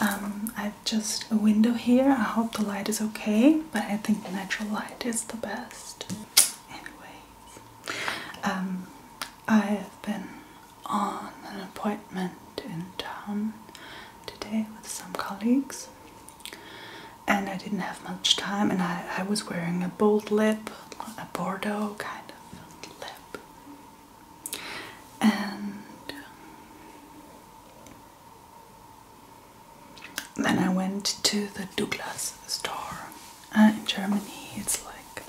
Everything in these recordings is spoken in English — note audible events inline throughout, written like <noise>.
um, I've just a window here. I hope the light is okay, but I think natural light is the best. Anyways, um, I've been on an appointment in town today with some colleagues, and I didn't have much time, and I, I was wearing a bold lip, a Bordeaux kind of lip. And then I went to the Douglas store uh, in Germany. It's like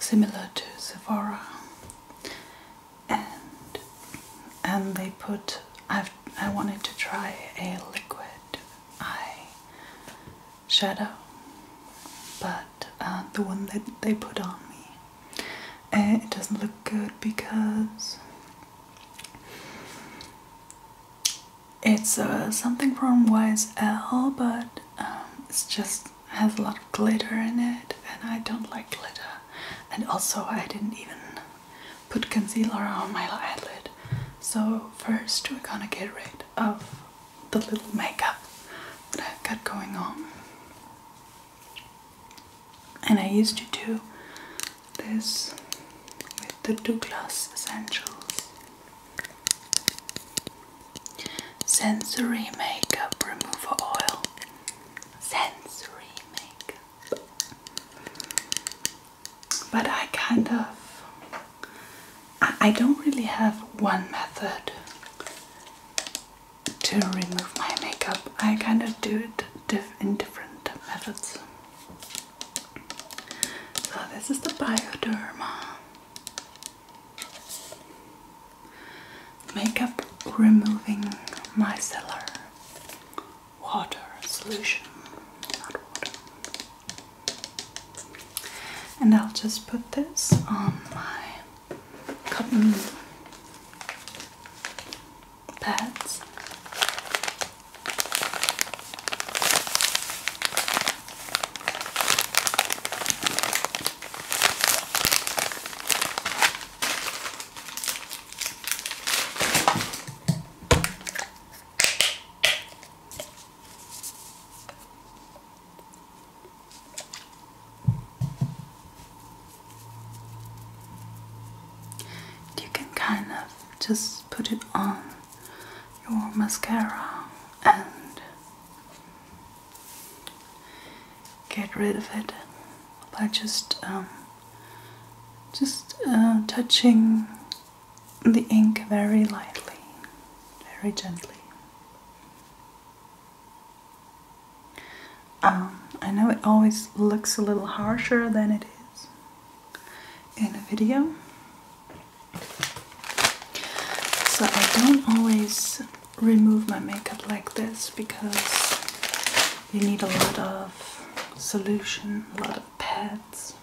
similar to Sephora, and and um, they put. I've, I wanted to try a liquid eye shadow, but uh, the one that they put on me, uh, it doesn't look good because it's uh, something from YSL, but um, it just has a lot of glitter in it, and I don't like glitter. And also, I didn't even put concealer on my eyelid. So first, we're gonna get rid of the little makeup that I've got going on. And I used to do this with the Douglas Essentials Sensory Makeup Remover Oil. Sensory makeup. But I kind of. I, don't really have one method to remove my makeup. I kind of do it diff in different methods. So this is the Bioderma Makeup Removing Micellar Water Solution, And I'll just put this on my cotton pads. You can kind of just put it on your mascara and get rid of it by just um, just uh, touching the ink very lightly, very gently. I um, know it always looks a little harsher than it is in a video. So I don't always remove my makeup like this because you need a lot of solution, a lot of pads.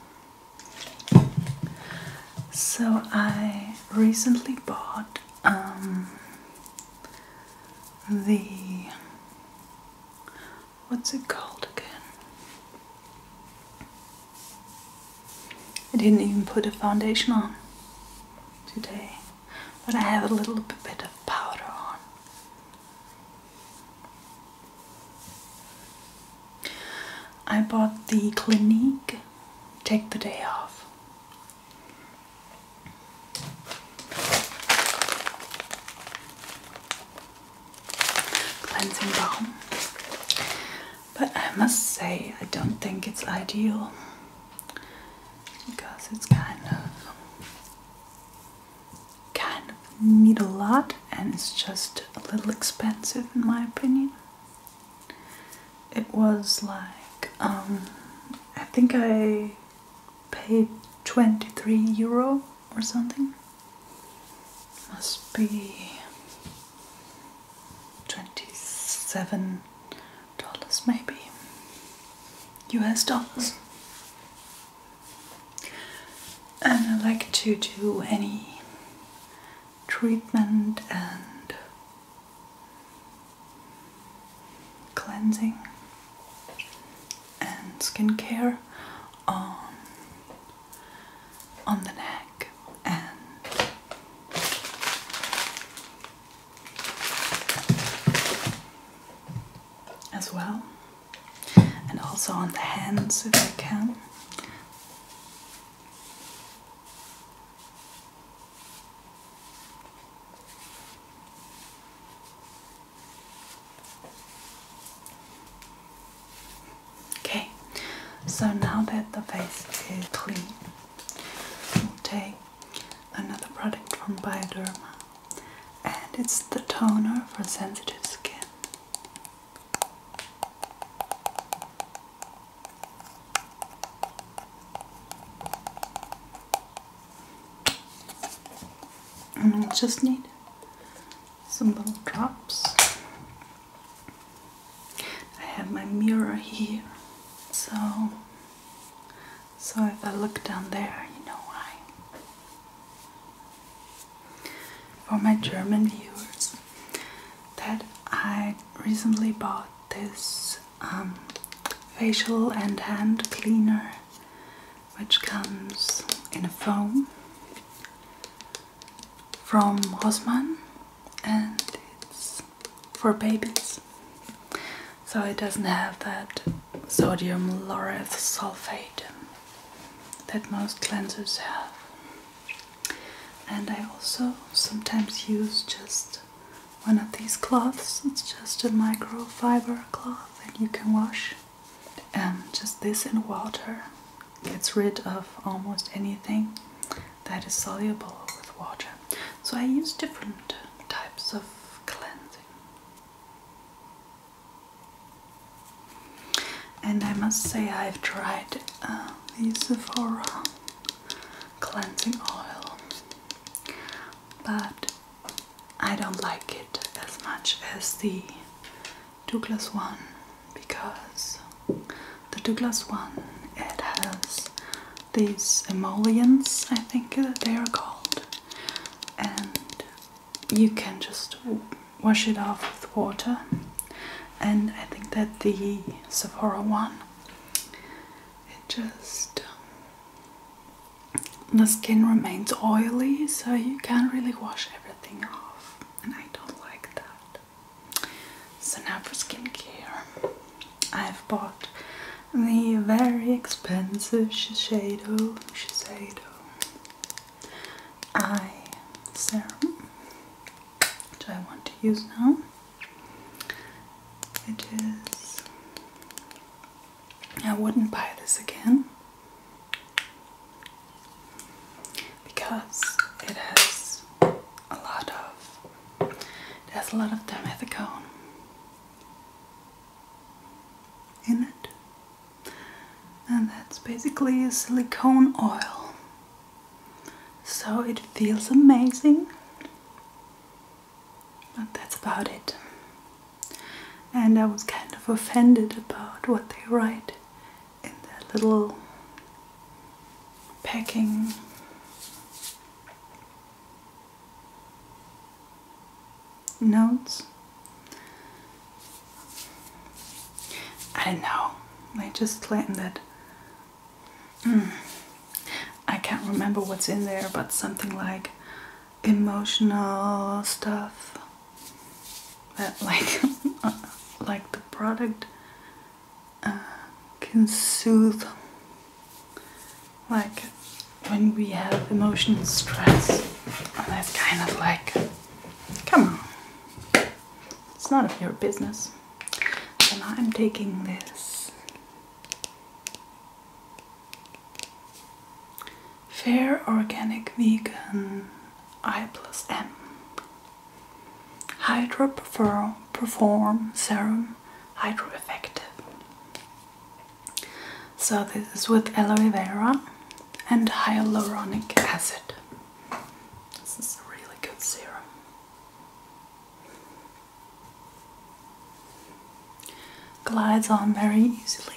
So I recently bought um, the what's it called again? I didn't even put a foundation on today, but I have a little bit of powder on. I bought the Clinique Take the Day Off cleansing balm. But I must say, I don't think it's ideal because it's kind of kind of need a lot and it's just a little expensive in my opinion. It was like um, I think I Pay 23 euro or something. Must be 27 dollars maybe. US dollars. And I like to do any treatment and cleansing and skincare on on the neck and as well and also on the hands if I can. Okay, so now that the face is clean, we'll take another product from Bioderma, and it's the toner for sensitive skin and I'll just need some little drops. I have my mirror here, so so if I look down there, you know why. For my German viewers, that I recently bought this um, facial and hand cleaner which comes in a foam from Hosman and it's for babies. So it doesn't have that sodium laureth sulfate that most cleansers have. And I also sometimes use just one of these cloths. It's just a microfiber cloth and you can wash and just this in water gets rid of almost anything that is soluble with water. So I use different types of cleansing. And I must say I've tried uh, the Sephora cleansing oil, but I don't like it as much as the Douglas one because the Douglas one it has these emollients I think they are called and you can just wash it off with water and I think that the Sephora one it just the skin remains oily, so you can't really wash everything off, and I don't like that. So, now for skincare, I've bought the very expensive Shiseido, Shiseido eye serum, which I want to use now. It is I wouldn't buy this again because it has a lot of there's a lot of dimethicone in it and that's basically a silicone oil so it feels amazing but that's about it and I was kind of offended about what they write in their little packing. Notes. I don't know. They just claim that hmm, I can't remember what's in there, but something like emotional stuff that <laughs> like like the product uh, can soothe like when we have emotional stress and it's kind of like come on it's none of your business And I'm taking this Fair Organic Vegan I plus M Hydro Perform, perform Serum Hydro Effective. So this is with aloe vera and hyaluronic acid. This is a really good serum. Glides on very easily.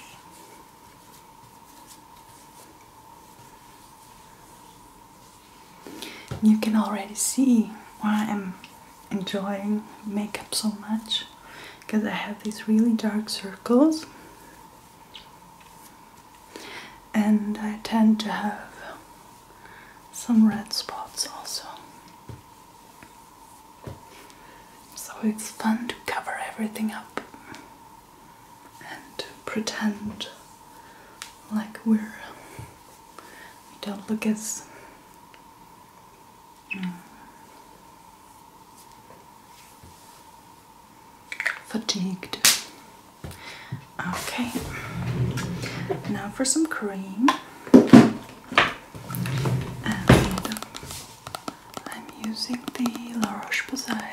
You can already see why I'm enjoying makeup so much because I have these really dark circles and I tend to have some red spots also. So it's fun to cover everything up and pretend like we're we don't look as fatigued. Okay, now for some cream. I'm using the La Roche-Posay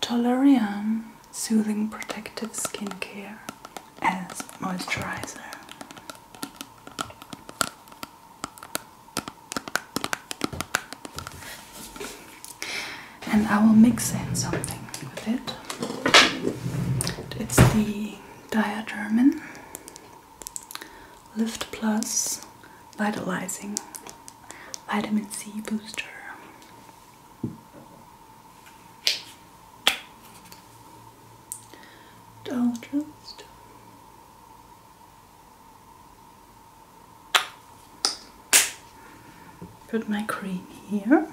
Tolerian Soothing Protective Skincare as moisturizer. And I will mix in something with it. It's the Diadermin Lift Plus Vitalizing Vitamin C Booster. Dollar Put my cream here.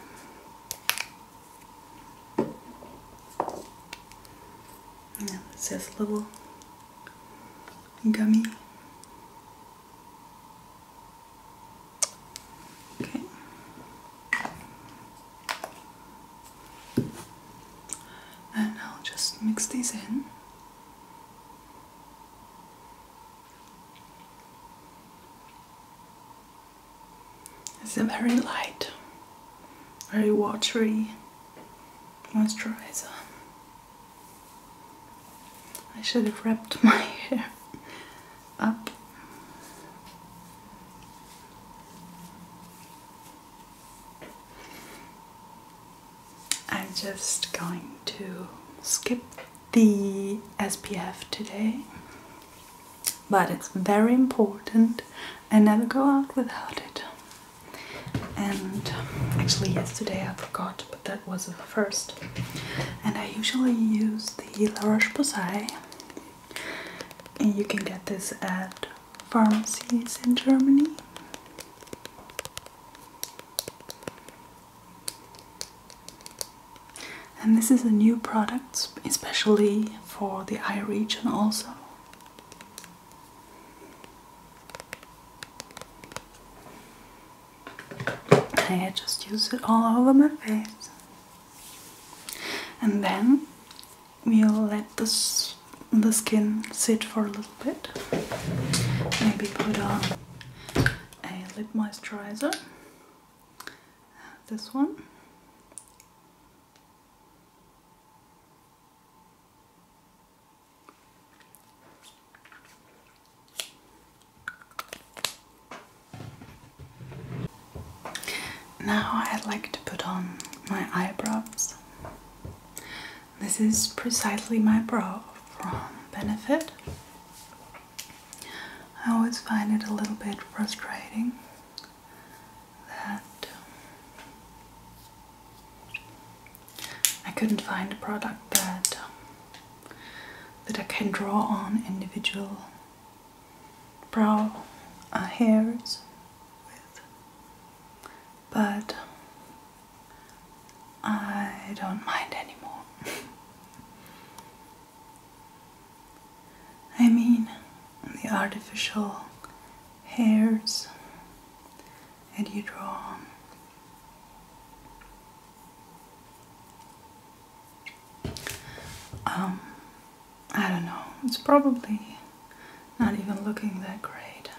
And it says little gummy. Okay. And I'll just mix these in. It's a very light, very watery moisturizer. I should have wrapped my <laughs> hair up. I'm just going to skip the SPF today, but it's very important. I never go out without it and actually yesterday I forgot but that was the first and I usually use the La Roche-Posay and you can get this at pharmacies in Germany and this is a new product especially for the eye region also I just use it all over my face. And then we'll let this, the skin sit for a little bit. Maybe put on a lip moisturizer. This one. Now I'd like to put on my eyebrows. This is precisely my brow from Benefit. I always find it a little bit frustrating that um, I couldn't find a product that um, that I can draw on individual brow uh, hairs with, but I don't mind anymore. <laughs> I mean, the artificial hairs and you draw um, I don't know it's probably not even looking that great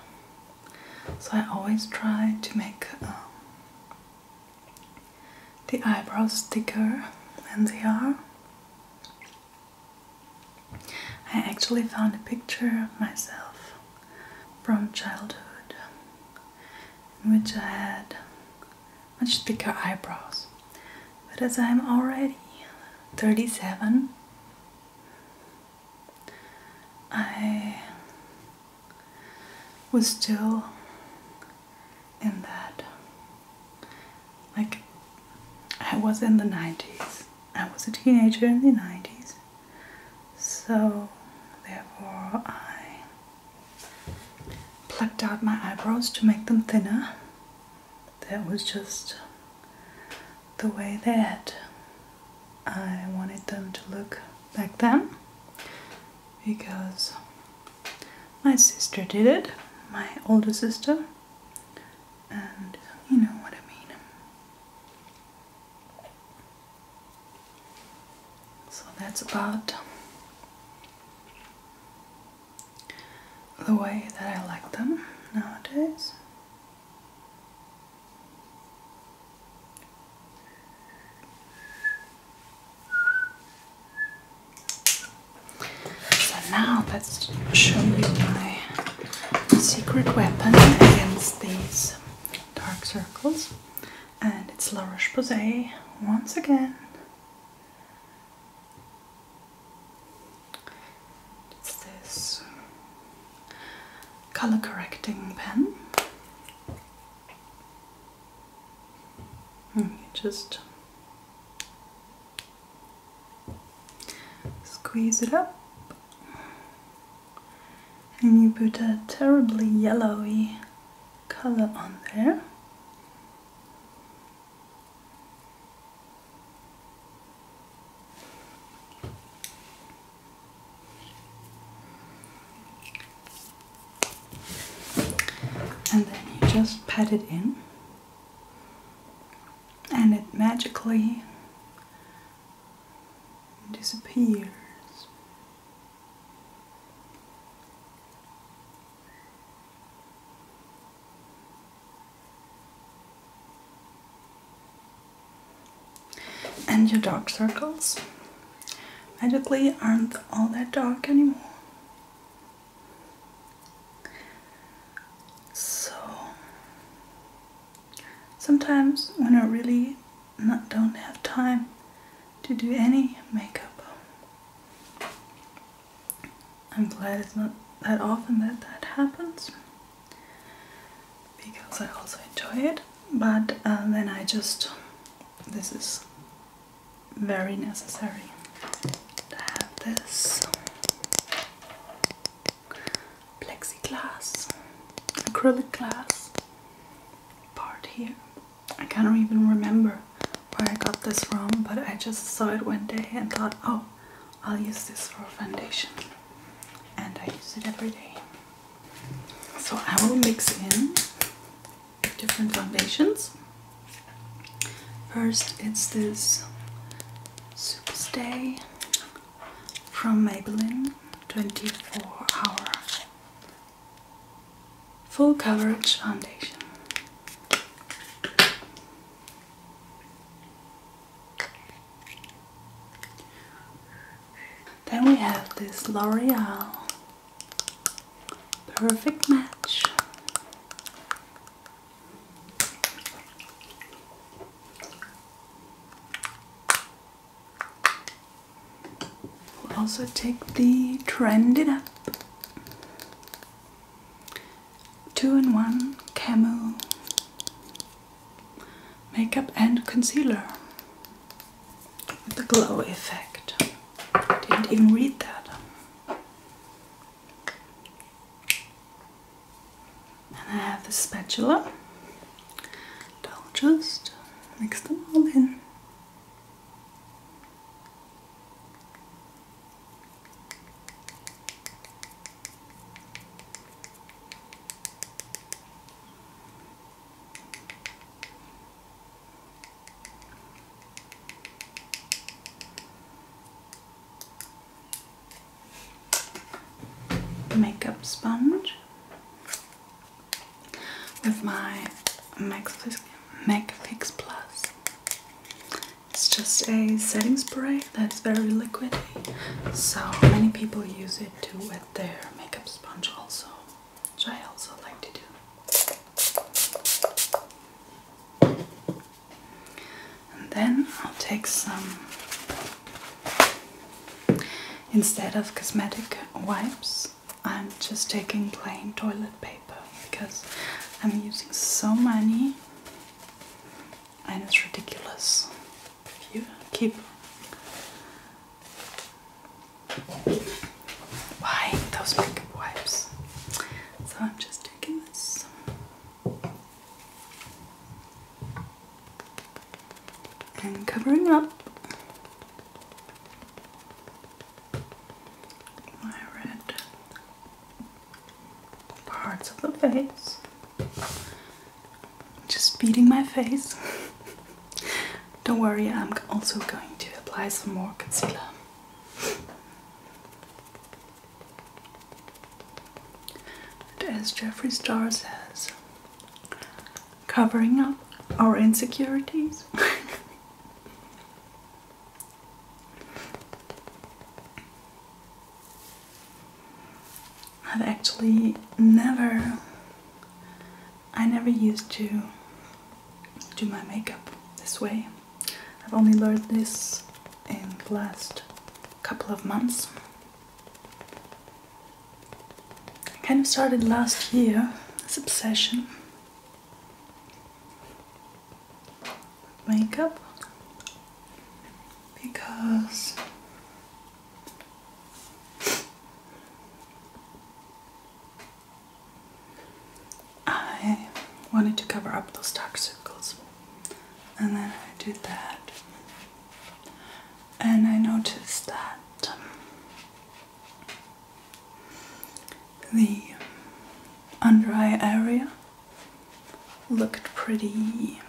so I always try to make um, the eyebrows thicker than they are I actually found a picture of myself from childhood in which I had much thicker eyebrows. But as I'm already 37, I was still in that. Like, I was in the 90s. I was a teenager in the 90s, so, therefore, I plucked out my eyebrows to make them thinner. That was just the way that I wanted them to look back then because my sister did it, my older sister, and you know what I mean. So that's about the way that I like them nowadays. So now let's show you my secret weapon against these dark circles and it's La Roche-Posay once again. It's this color correcting pen. Hmm, just squeeze it up and you put a terribly yellowy color on there. And then you just pat it in, and it magically disappears. And your dark circles magically aren't all that dark anymore. So, sometimes when I really not don't have time to do any makeup. I'm glad it's not that often that that happens because I also enjoy it but um, then I just this is very necessary to have this plexiglass acrylic glass part here. I can't even remember where I got this from, but I just saw it one day and thought, oh, I'll use this for foundation. And I use it every day. So I will mix in different foundations. First, it's this Superstay from Maybelline 24 Hour full coverage foundation. Then we have this L'Oreal Perfect Match. We'll also take the Trend It Up two-in-one camel makeup and concealer with the glow effect. Didn't even read that. And I have the spatula I'll just mix them all in. Makeup sponge with my McFix, Fix Plus. It's just a setting spray that's very liquidy, so many people use it to wet their makeup sponge also, which I also like to do. And then I'll take some instead of cosmetic wipes, I'm just taking plain toilet paper because I'm using so many and it's ridiculous. If you keep buying those makeup wipes. So I'm just taking this and covering up my red parts of the face. Just beating my face. <laughs> Don't worry, I'm also going to apply some more concealer. as Jeffree Star says, covering up our insecurities. <laughs> I've actually never, I never used to do my makeup this way. I've only learned this in the last couple of months. I kind of started last year, this obsession. Makeup because I wanted to cover up those dark circles and then I did that and I noticed that the under eye area looked pretty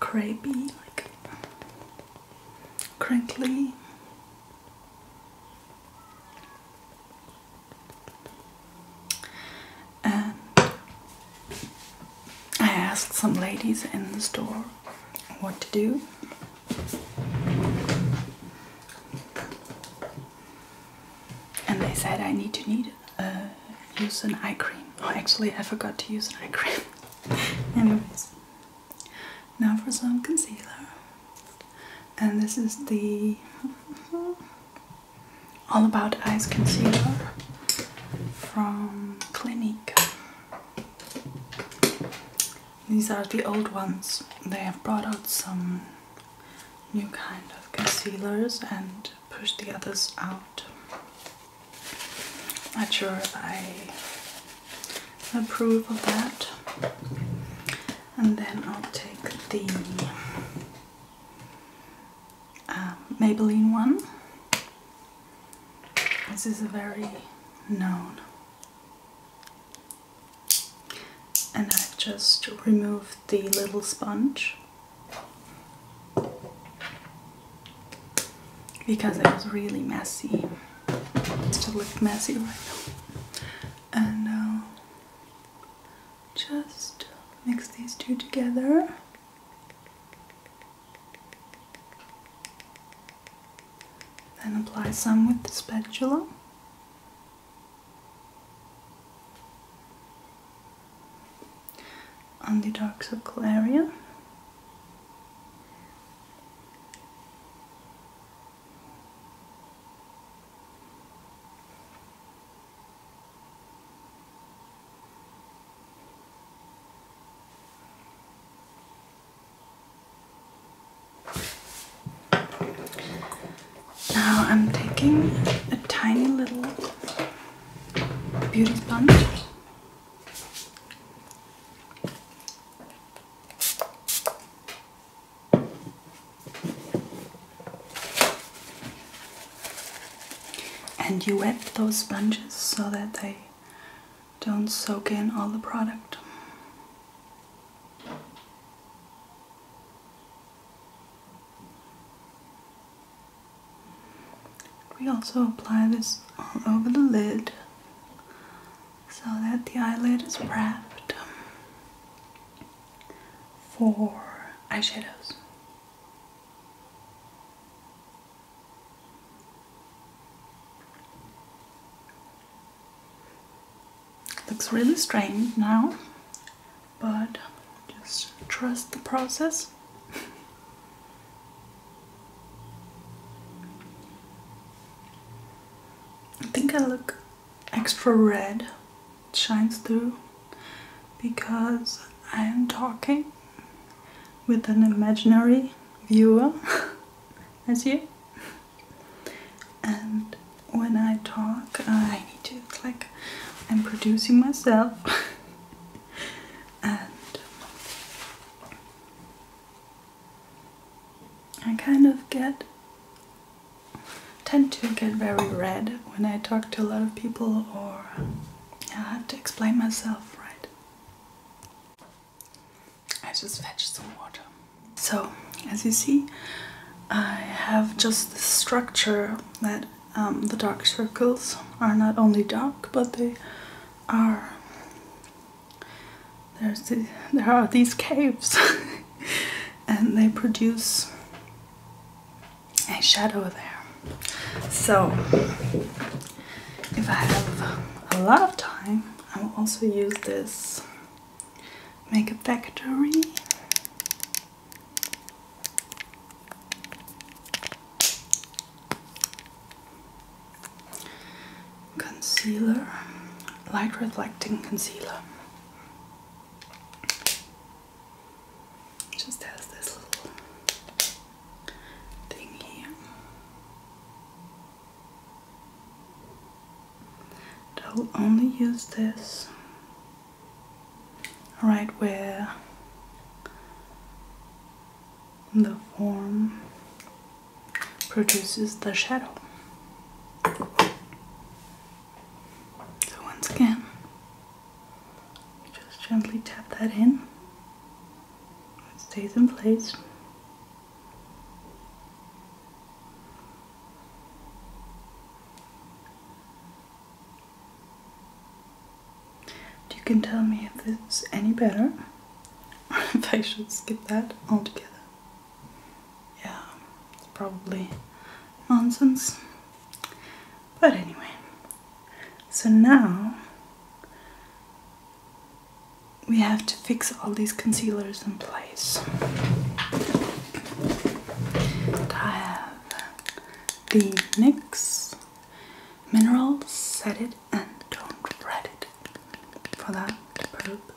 crepey, like crinkly. And I asked some ladies in the store what to do. And they said I need to need uh, use an eye cream. Oh, actually, I forgot to use an eye cream. <laughs> Anyways, now for some concealer. And this is the All About Eyes Concealer from Clinique. These are the old ones. They have brought out some new kind of concealers and pushed the others out. Not sure if I approve of that. And then I'll take the uh, Maybelline one. This is a very known. And I've just removed the little sponge because it was really messy. It's still looks messy right now. And uh, just mix these two together. Then apply some with the spatula. On the dark circle area. Now I'm taking a tiny little beauty sponge. And you wet those sponges so that they don't soak in all the product. We also apply this all over the lid so that the eyelid is wrapped for eyeshadows. Looks really strained now, but just trust the process. I think I look extra red, it shines through because I am talking with an imaginary viewer <laughs> as you. And when I talk, I need to like I'm producing myself. <laughs> and I kind of get tend to get very red when I talk to a lot of people or I have to explain myself, right? I just fetched some water. So, as you see, I have just the structure that um, the dark circles are not only dark, but they are there are these caves <laughs> and they produce a shadow there so if I have a lot of time, I will also use this Makeup Factory. Concealer, light reflecting concealer. Just has this I'll only use this right where the form produces the shadow. So once again, just gently tap that in. It stays in place. You can tell me if it's any better <laughs> if I should skip that altogether. Yeah, it's probably nonsense. But anyway, so now we have to fix all these concealers in place. I have the NYX Mineral Set It and Don't Fret It for that purpose.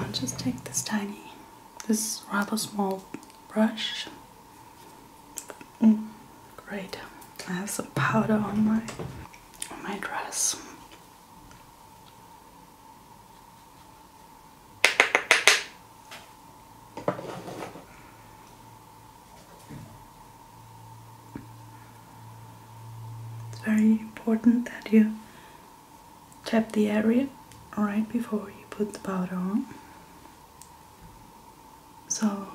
I'll just take this tiny, this rather small brush. Mm, great. I have some powder on my on my dress. It's very important that you tap the area right before you put the powder on. So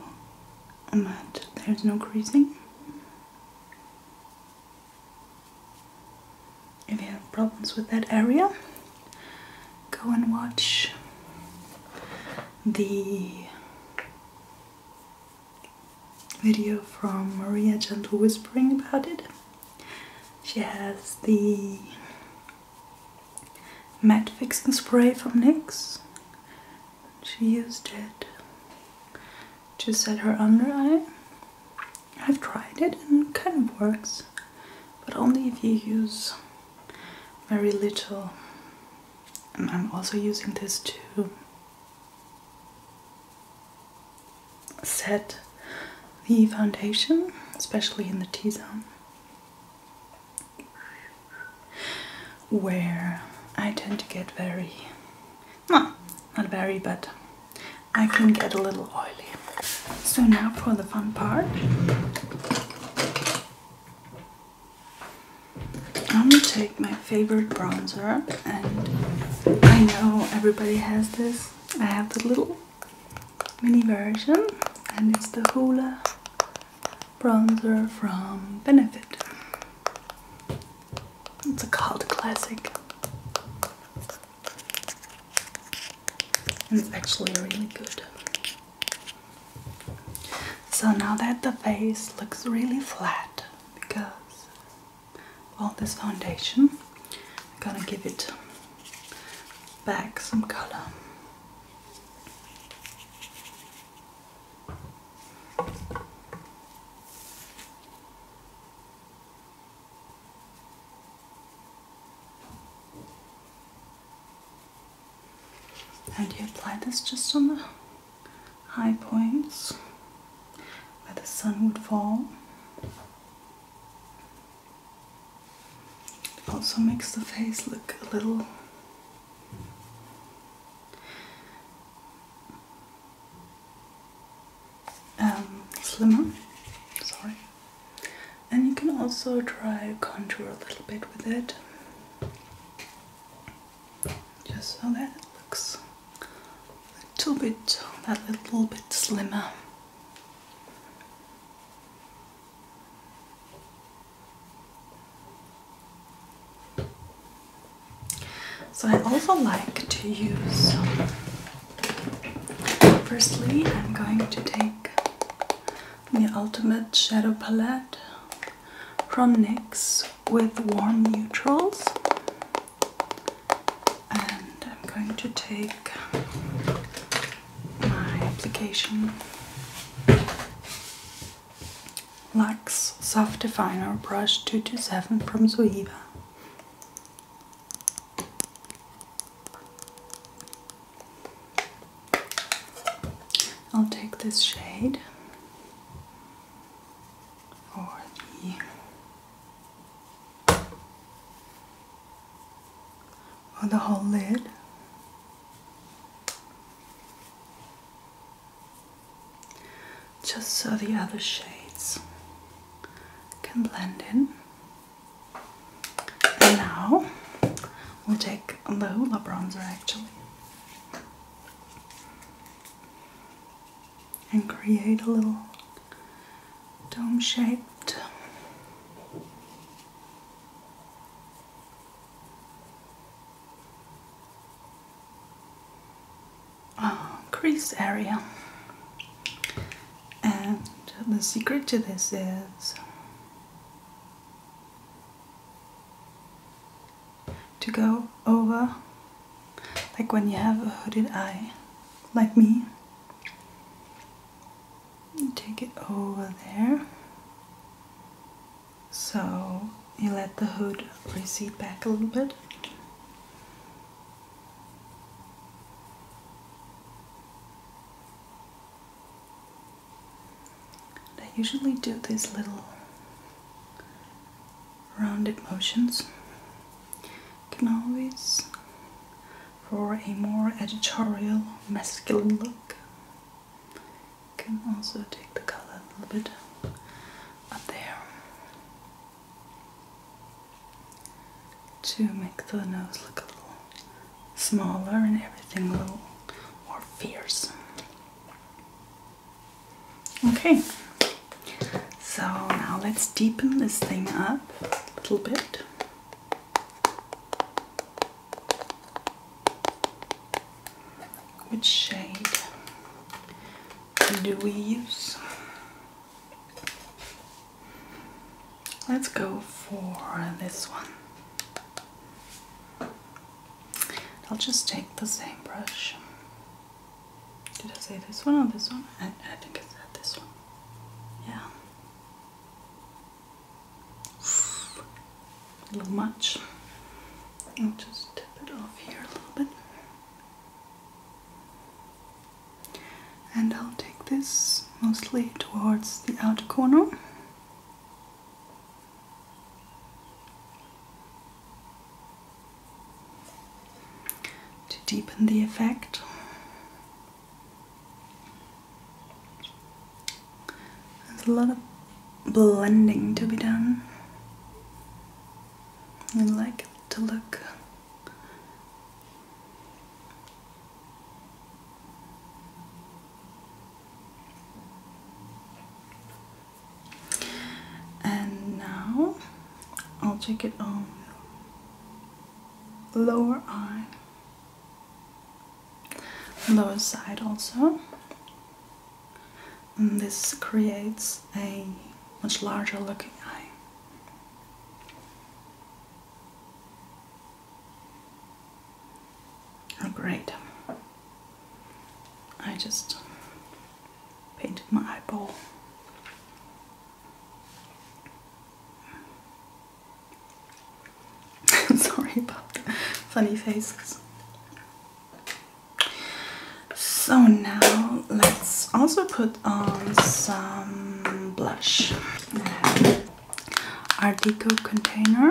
that there's no creasing. If you have problems with that area, go and watch the video from Maria Gentle whispering about it. She has the matte fixing spray from NYX. She used it to set her under eye. I've tried it and it kind of works, but only if you use very little and I'm also using this to set the foundation, especially in the T-zone where I tend to get very, well, not very, but I can get a little oily. So now for the fun part. I'm gonna take my favorite bronzer and I know everybody has this. I have the little mini version and it's the Hoola bronzer from Benefit. It's a cult classic. it's actually really good. So now that the face looks really flat because all this foundation, I'm gonna give it back some color. And you apply this just on the high points where the sun would fall. It also makes the face look a little um, slimmer. Sorry and you can also try contour a little bit with it just so that it looks a little bit that little bit slimmer so I also like to use firstly I'm going to take the Ultimate Shadow Palette from NYX with warm neutrals. And I'm going to take my application Lux Soft Definer Brush 227 from Zoeva. I'll take this shade or the or the whole lid. Just so the other shades can blend in. And now We'll take the Hoola bronzer actually and create a little dome shaped uh, crease area. And the secret to this is to go over like when you have a hooded eye like me take it over there so you let the hood recede back a little bit I usually do these little rounded motions. can always, for a more editorial, masculine look, can also take the color a little bit up there to make the nose look a little smaller and everything a little more fierce. Okay, so now let's deepen this thing up a little bit. with shade do we use? Let's go for this one. I'll just take the same brush. Did I say this one or this one? I, think it's this one. Yeah. A little much. I'll just tip it off here a little bit. And I'll take this mostly towards the outer corner to deepen the effect, there's a lot of blending to be done. I like to look and now I'll take it on lower eye, lower side also. And this creates a much larger looking eye. Oh, great. I just painted my eyeball. <laughs> Sorry about the funny face. So now let's also put on some blush. Art Deco container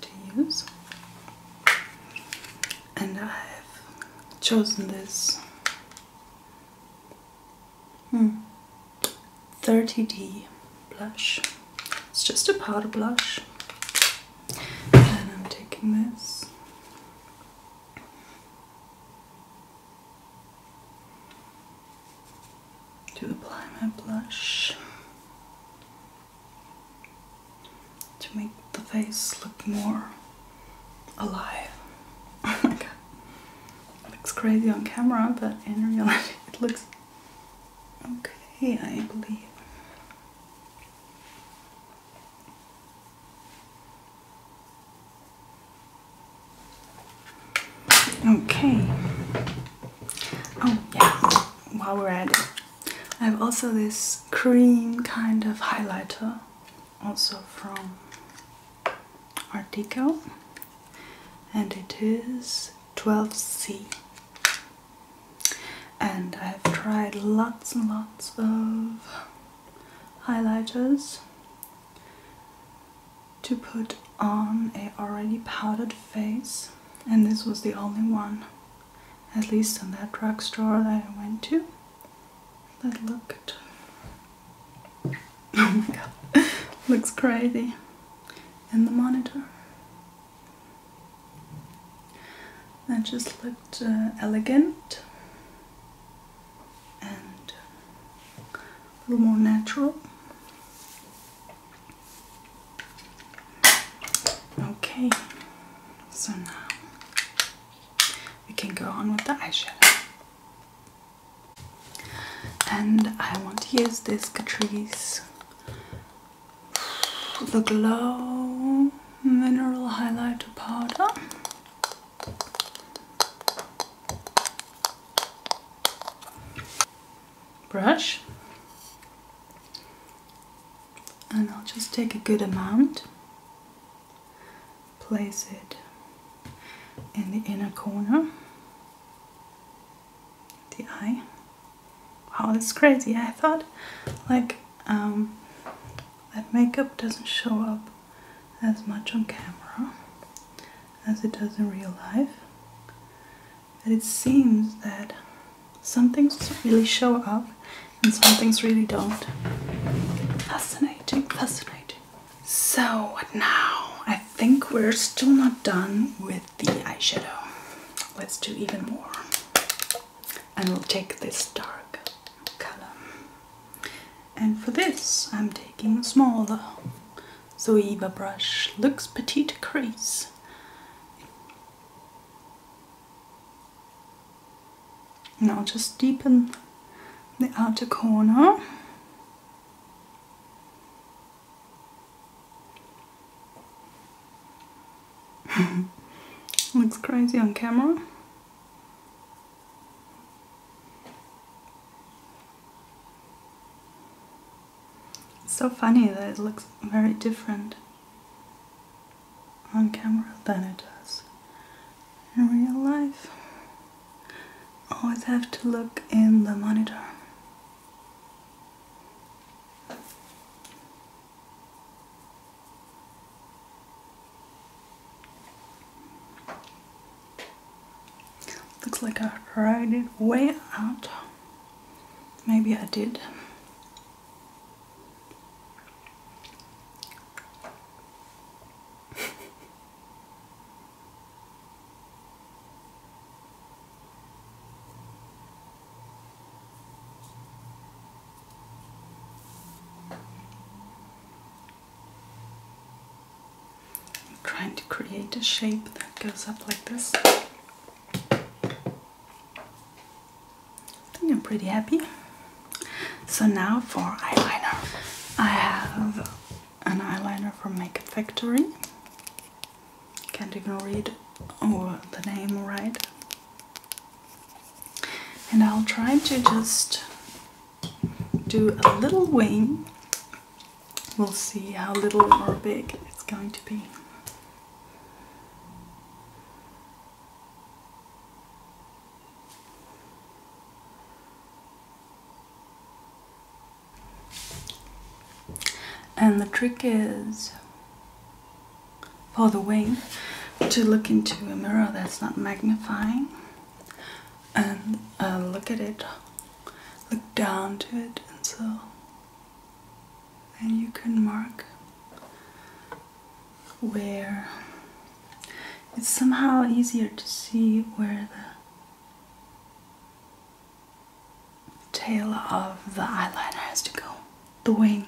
to use and I have chosen this hmm, 30D blush it's just a powder blush and I'm taking this to apply my blush to make the face look more alive. <laughs> Oh my god. looks crazy on camera, but in reality <laughs> it looks okay, I believe. Okay. Oh yeah, while we're at it, I have also this cream kind of highlighter, also from Artico, and it is 12C. And I have tried lots and lots of highlighters to put on a already powdered face and this was the only one at least in that drugstore that I went to that looked oh my god <laughs> looks crazy in the monitor that just looked uh, elegant and a little more natural. Okay, so now we can go on with the eyeshadow. And I want to use this Catrice the Glow Mineral Highlighter Powder brush and I'll just take a good amount place it in the inner corner the eye wow that's crazy I thought like um, that makeup doesn't show up as much on camera as it does in real life. But it seems that some things really show up and some things really don't. Fascinating, fascinating. So now I think we're still not done with the eyeshadow. Let's do even more. And we'll take this dark color and for this, I'm taking a smaller Zoeva brush. Looks petite crease. Now just deepen the outer corner. <laughs> Looks crazy on camera. It's so funny that it looks very different on camera than it does in real life. Always have to look in the monitor. Looks like I cried it way out. Maybe I did. I'm trying to create a shape that goes up like this. I am pretty happy. So now for eyeliner. I have an eyeliner from Makeup Factory. Can't even read the name right. And I'll try to just do a little wing we'll see how little or big it's going to be. And the trick is for the wing to look into a mirror that's not magnifying and uh, look at it look down to it and so then you can mark where it's somehow easier to see where the tail of the eyeliner has to go, the wing.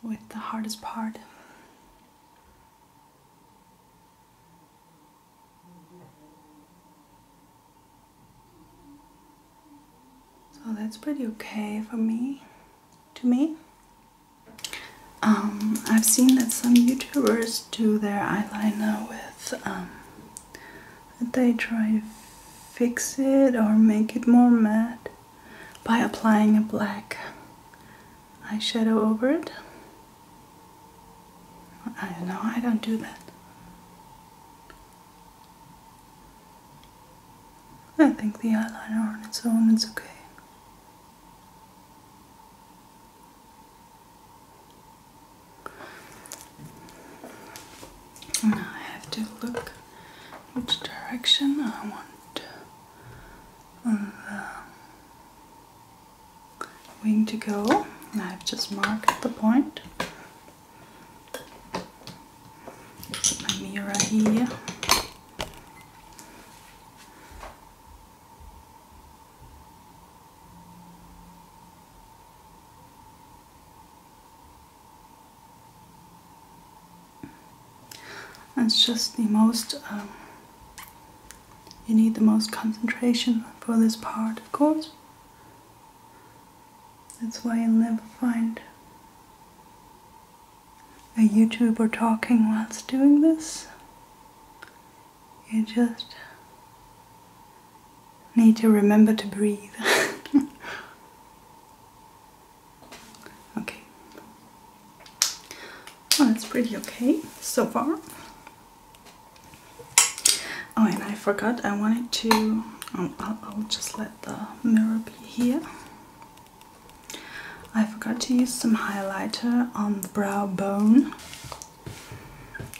With the hardest part. So that's pretty okay for me, to me. Um, I've seen that some YouTubers do their eyeliner with, um, they try to fix it or make it more matte by applying a black eyeshadow over it. I don't know, I don't do that. I think the eyeliner on its own is okay. I have to look which direction I want the um, wing to go. I've just marked the point. mirror here. It's just the most, um, you need the most concentration for this part, of course. That's why you'll never find a YouTuber talking whilst doing this. You just need to remember to breathe. <laughs> okay. Well, that's pretty okay so far. Oh, and I forgot I wanted to. Um, I'll just let the mirror be here. I forgot to use some highlighter on the brow bone,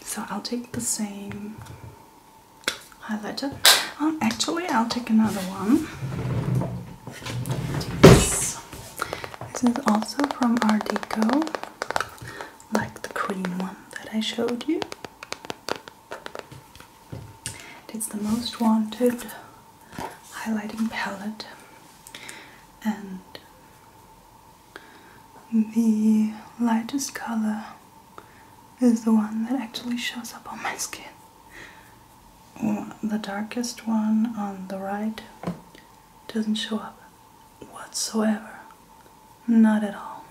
so I'll take the same highlighter. Um, actually, I'll take another one. This. is also from Art Deco, like the cream one that I showed you. It's the most wanted highlighting palette, and the lightest color is the one that actually shows up on my skin. The darkest one on the right doesn't show up whatsoever. Not at all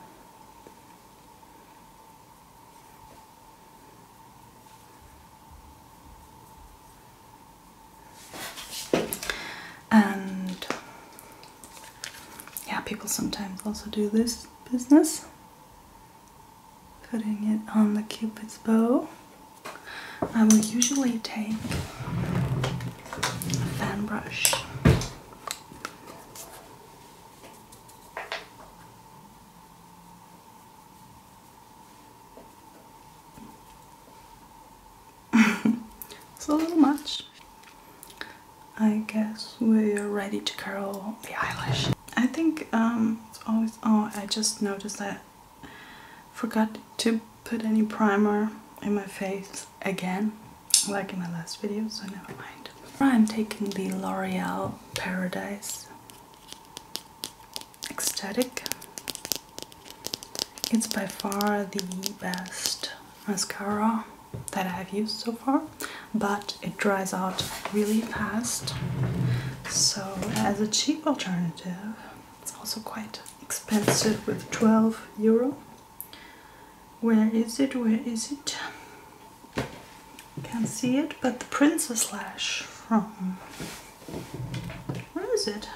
and yeah, people sometimes also do this business putting it on the cupid's bow. I will usually take a fan brush. <laughs> it's a little much. I guess we're ready to curl the eyelash. I think um, it's always. Oh, I just noticed that I forgot to put any primer in my face again, like in my last video. So never mind. I'm taking the L'Oreal Paradise Ecstatic it's by far the best mascara that I have used so far, but it dries out really fast. So, as a cheap alternative, it's also quite expensive with 12 euro. Where is it? Where is it? Can't see it, but the Princess Lash from. Where is it?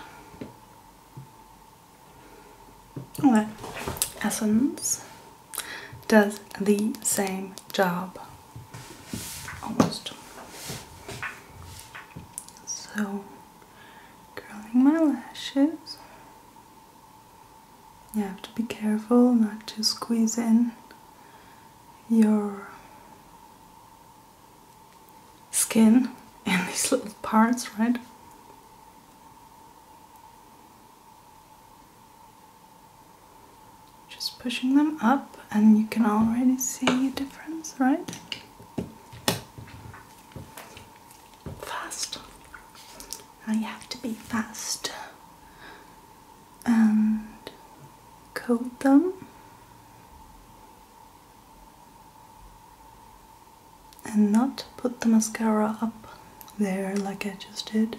Well, Essence does the same job almost. So, curling my lashes. You have to be careful not to squeeze in your skin and these little parts, right? Just pushing them up and you can already see a difference, right? Fast. Now you have to be fast. And coat them and not put the mascara up there like I just did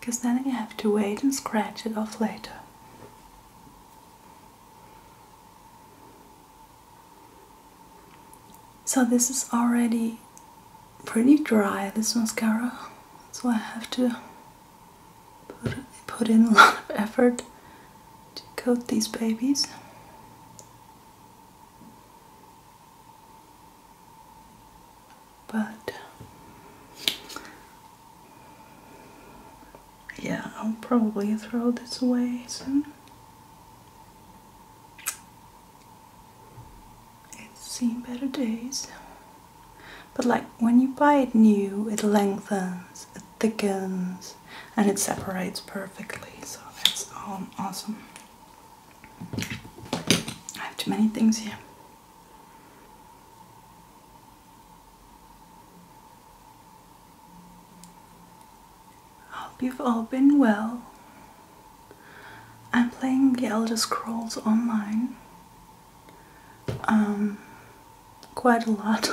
because then you have to wait and scratch it off later. So this is already pretty dry, this mascara, so I have to Put, put in a lot of effort to coat these babies. But yeah, I'll probably throw this away soon. It's seen better days. But like when you buy it new, it lengthens, it thickens, and it separates perfectly so that's all awesome I have too many things here Hope you've all been well. I'm playing The Elder Scrolls Online. Um, quite a lot.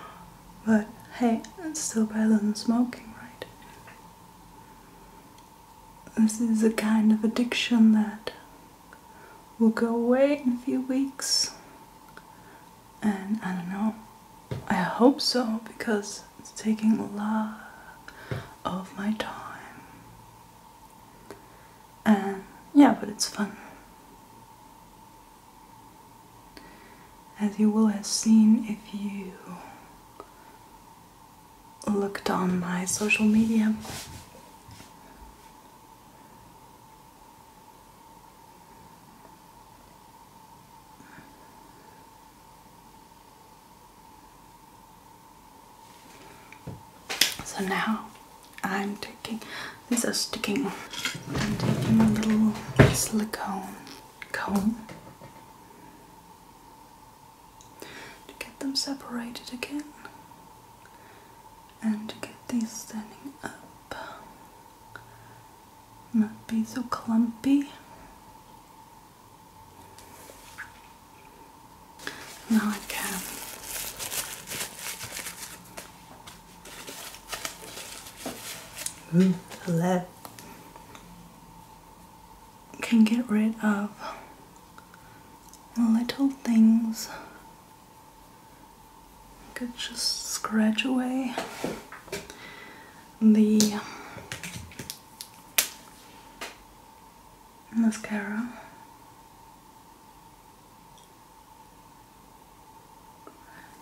<laughs> but hey, it's still better than smoking, right? This is a kind of addiction that will go away in a few weeks. And I don't know, I hope so because it's taking a lot of my time. And yeah, but it's fun. As you will have seen if you looked on my social media, so now I'm these are sticking. I'm taking a little silicone comb to get them separated again and to get these standing up. Not be so clumpy. Now I mm, that can get rid of little things. Could just scratch away the mascara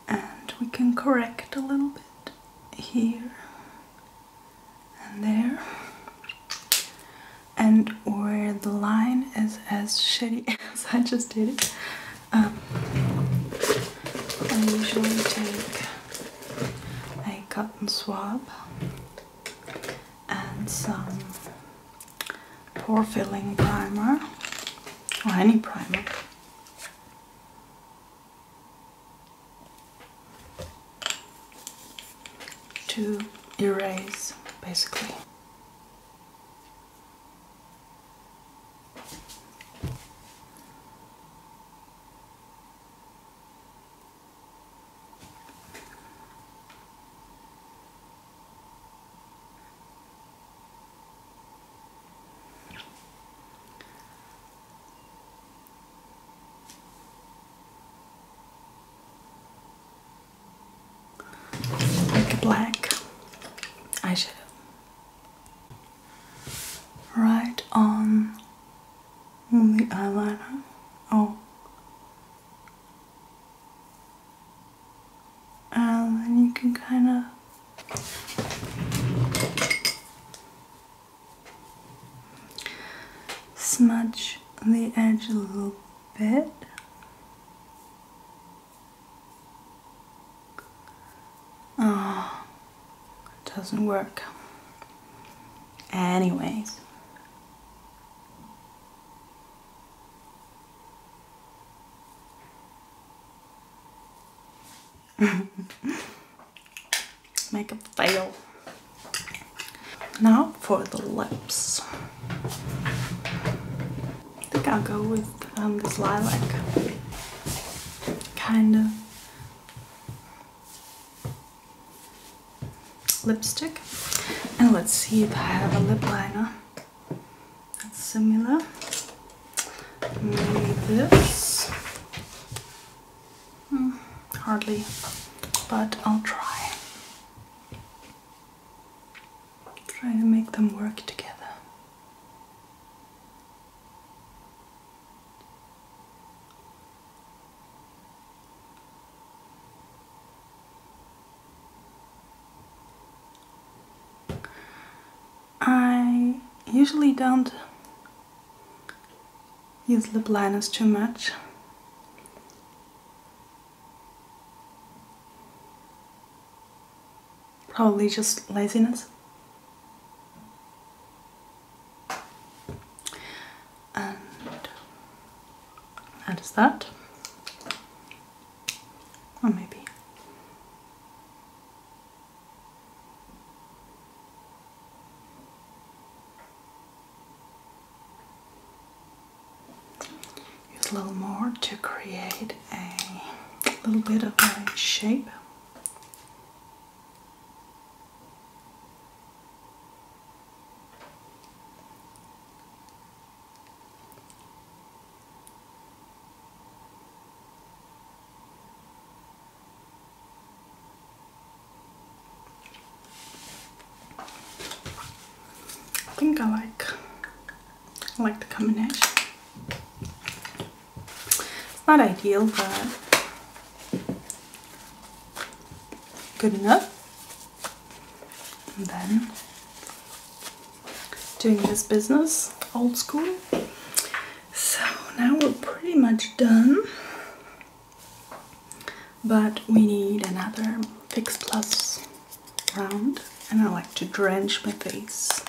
and we can correct a little bit here and there and where the line is as shitty <laughs> as I just did it um, I usually take a cotton swab and some pore filling primer or any primer to erase basically like black eyeshadow right on the eyeliner oh um, and you can kind of smudge the edge a little bit. Oh, it doesn't work. Anyways. <laughs> Make it fail. Now for the lips. I think I'll go with um, this lilac. Kind of lipstick and let's see if I have a lip liner that's similar maybe this hmm, hardly but I'll try try to make them work together I usually don't use lip liners too much. Probably just laziness. And that is that. Or maybe Use a little more to create a little bit of a shape. I think I like I like the combination. It's not ideal, but good enough. And then doing this business old school. So now we're pretty much done, but we need another Fix Plus round, and I like to drench my face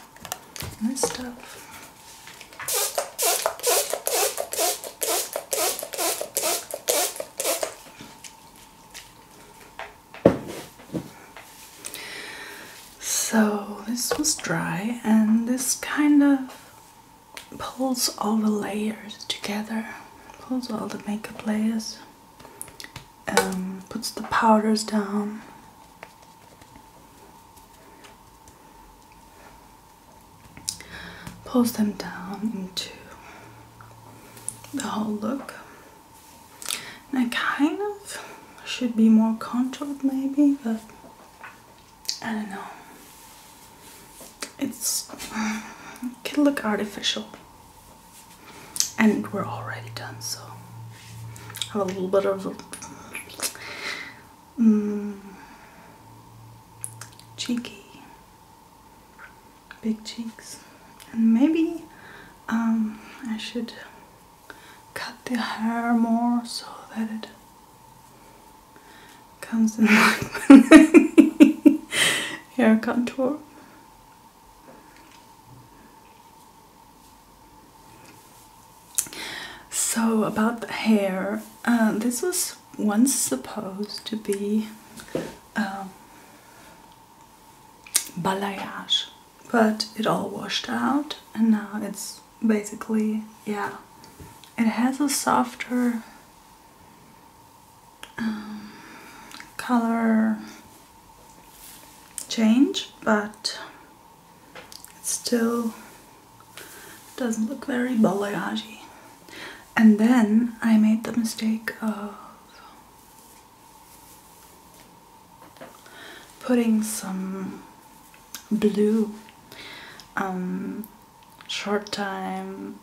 in stuff. So this was dry and this kind of pulls all the layers together, pulls all the makeup layers, um, puts the powders down. Pulls them down into the whole look. I kind of should be more controlled maybe, but I don't know. It's, can look artificial. And we're already done, so I have a little bit of mm, cheeky, big cheeks. And maybe um, I should cut the hair more so that it comes in <laughs> like hair contour. So about the hair, uh, this was once supposed to be um, balayage but it all washed out and now it's basically yeah it has a softer um, color change but it still doesn't look very balayage and then I made the mistake of putting some blue um, short time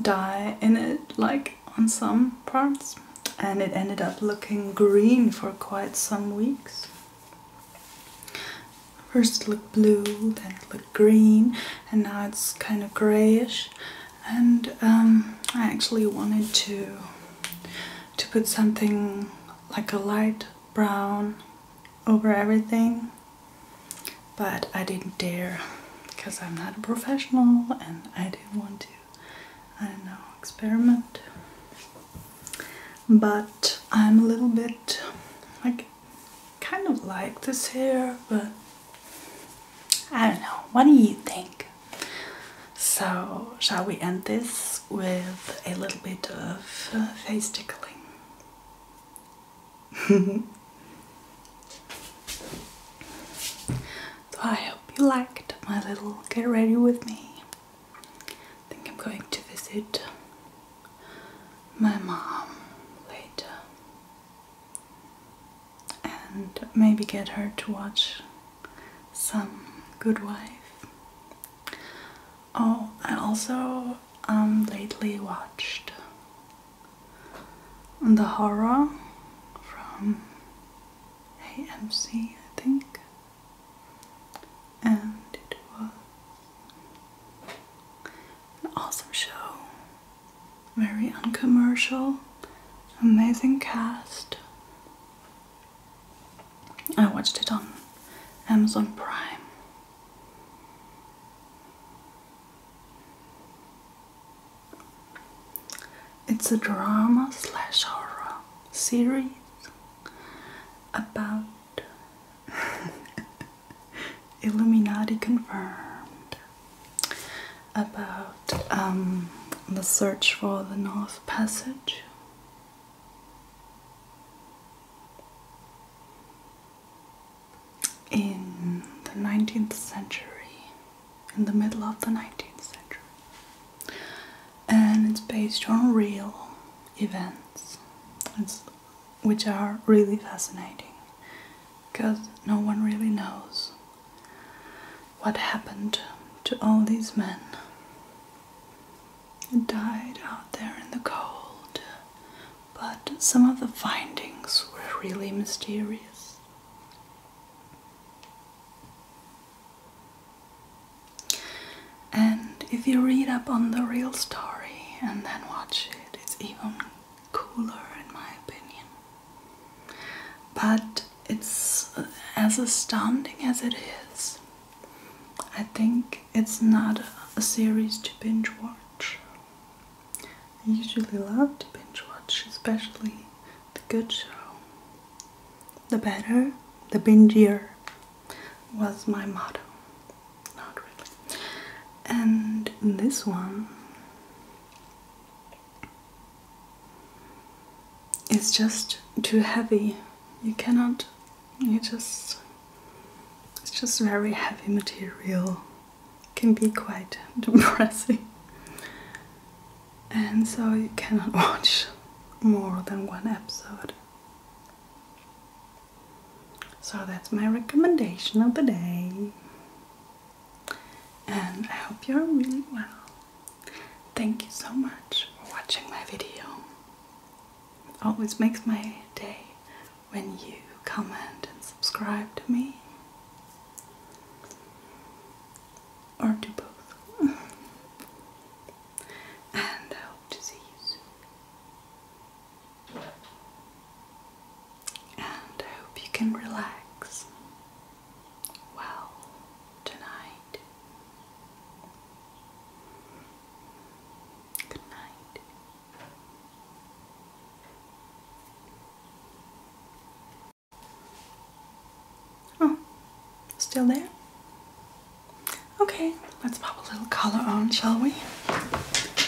dye in it like on some parts and it ended up looking green for quite some weeks. First it looked blue, then it looked green and now it's kind of grayish and um, I actually wanted to to put something like a light brown over everything but I didn't dare because I'm not a professional and I didn't want to I don't know experiment but I'm a little bit like kind of like this hair but I don't know what do you think so, shall we end this with a little bit of uh, face tickling? so, <laughs> I hope you liked my little get ready with me. I think I'm going to visit my mom later and maybe get her to watch some Good Wife. Oh, I also um, lately watched the horror from AMC, I think, and it was an awesome show, very uncommercial, amazing cast, I watched it on Amazon Prime. It's a drama slash horror series about <laughs> Illuminati confirmed about um, the search for the North Passage in the 19th century, in the middle of the 19th century, and it's based on real events, which are really fascinating because no one really knows what happened to all these men died out there in the cold, but some of the findings were really mysterious. And if you read up on the real story and then watch it, it's even cooler in my opinion. But it's as astounding as it is, I think it's not a series to binge watch. I usually love to binge watch, especially the good show. The better, the bingier was my motto. Not really. And this one, it's just too heavy. You cannot it just it's just very heavy material can be quite <laughs> depressing and so you cannot <laughs> watch more than one episode so that's my recommendation of the day and I hope you're really well thank you so much for watching my video always makes my day when you comment and subscribe to me. Or do both. <laughs> and I hope to see you soon. And I hope you can relax well tonight. Good night. Oh, still there? Okay, let's pop a little color on, shall we?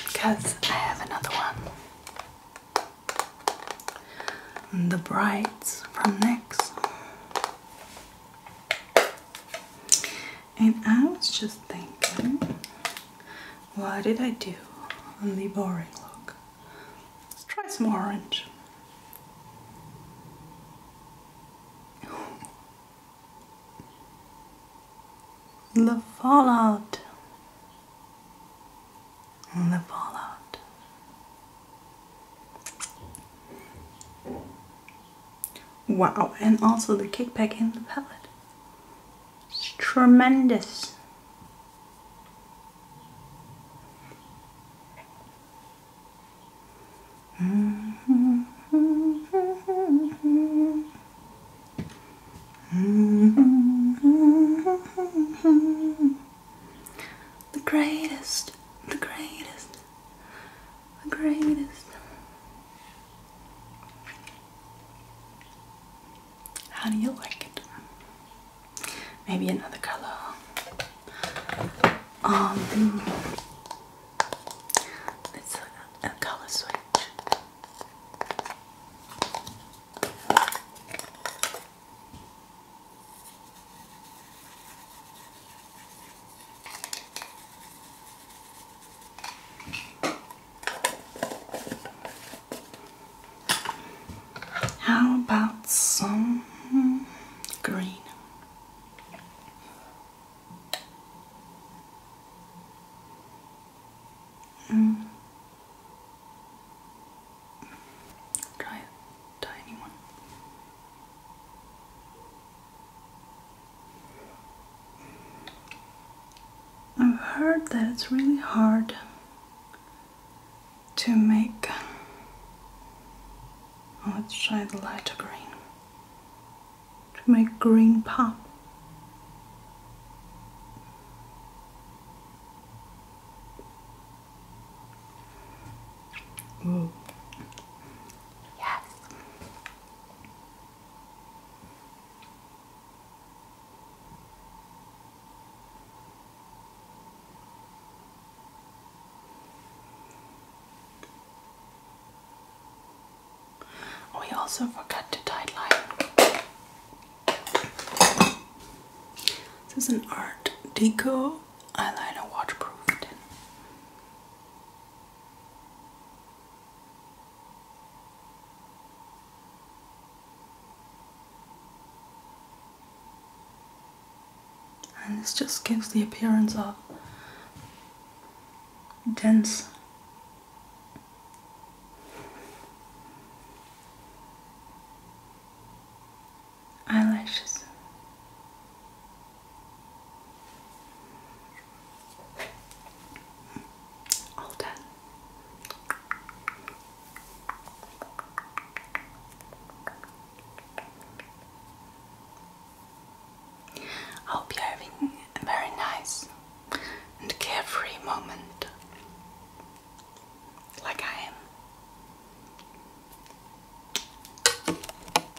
Because I have another one. The brights from NYX. And I was just thinking, what did I do on the boring look? Let's try some orange. The fallout. The fallout. Wow, and also the kickback in the palette. It's tremendous. <laughs> The greatest, the greatest the greatest. How do you like it? Maybe another color. Um, let's look at color switch. How about some green? Mm. Try a tiny one. I've heard that it's really hard to make. Oh, let's try the lighter green. To make green pop. Mm. Yes. We also forgot to line. This is an Art Deco eyeliner waterproof tin. And this just gives the appearance of dense eyelashes. All done. I hope you're having a very nice and carefree moment, like I am.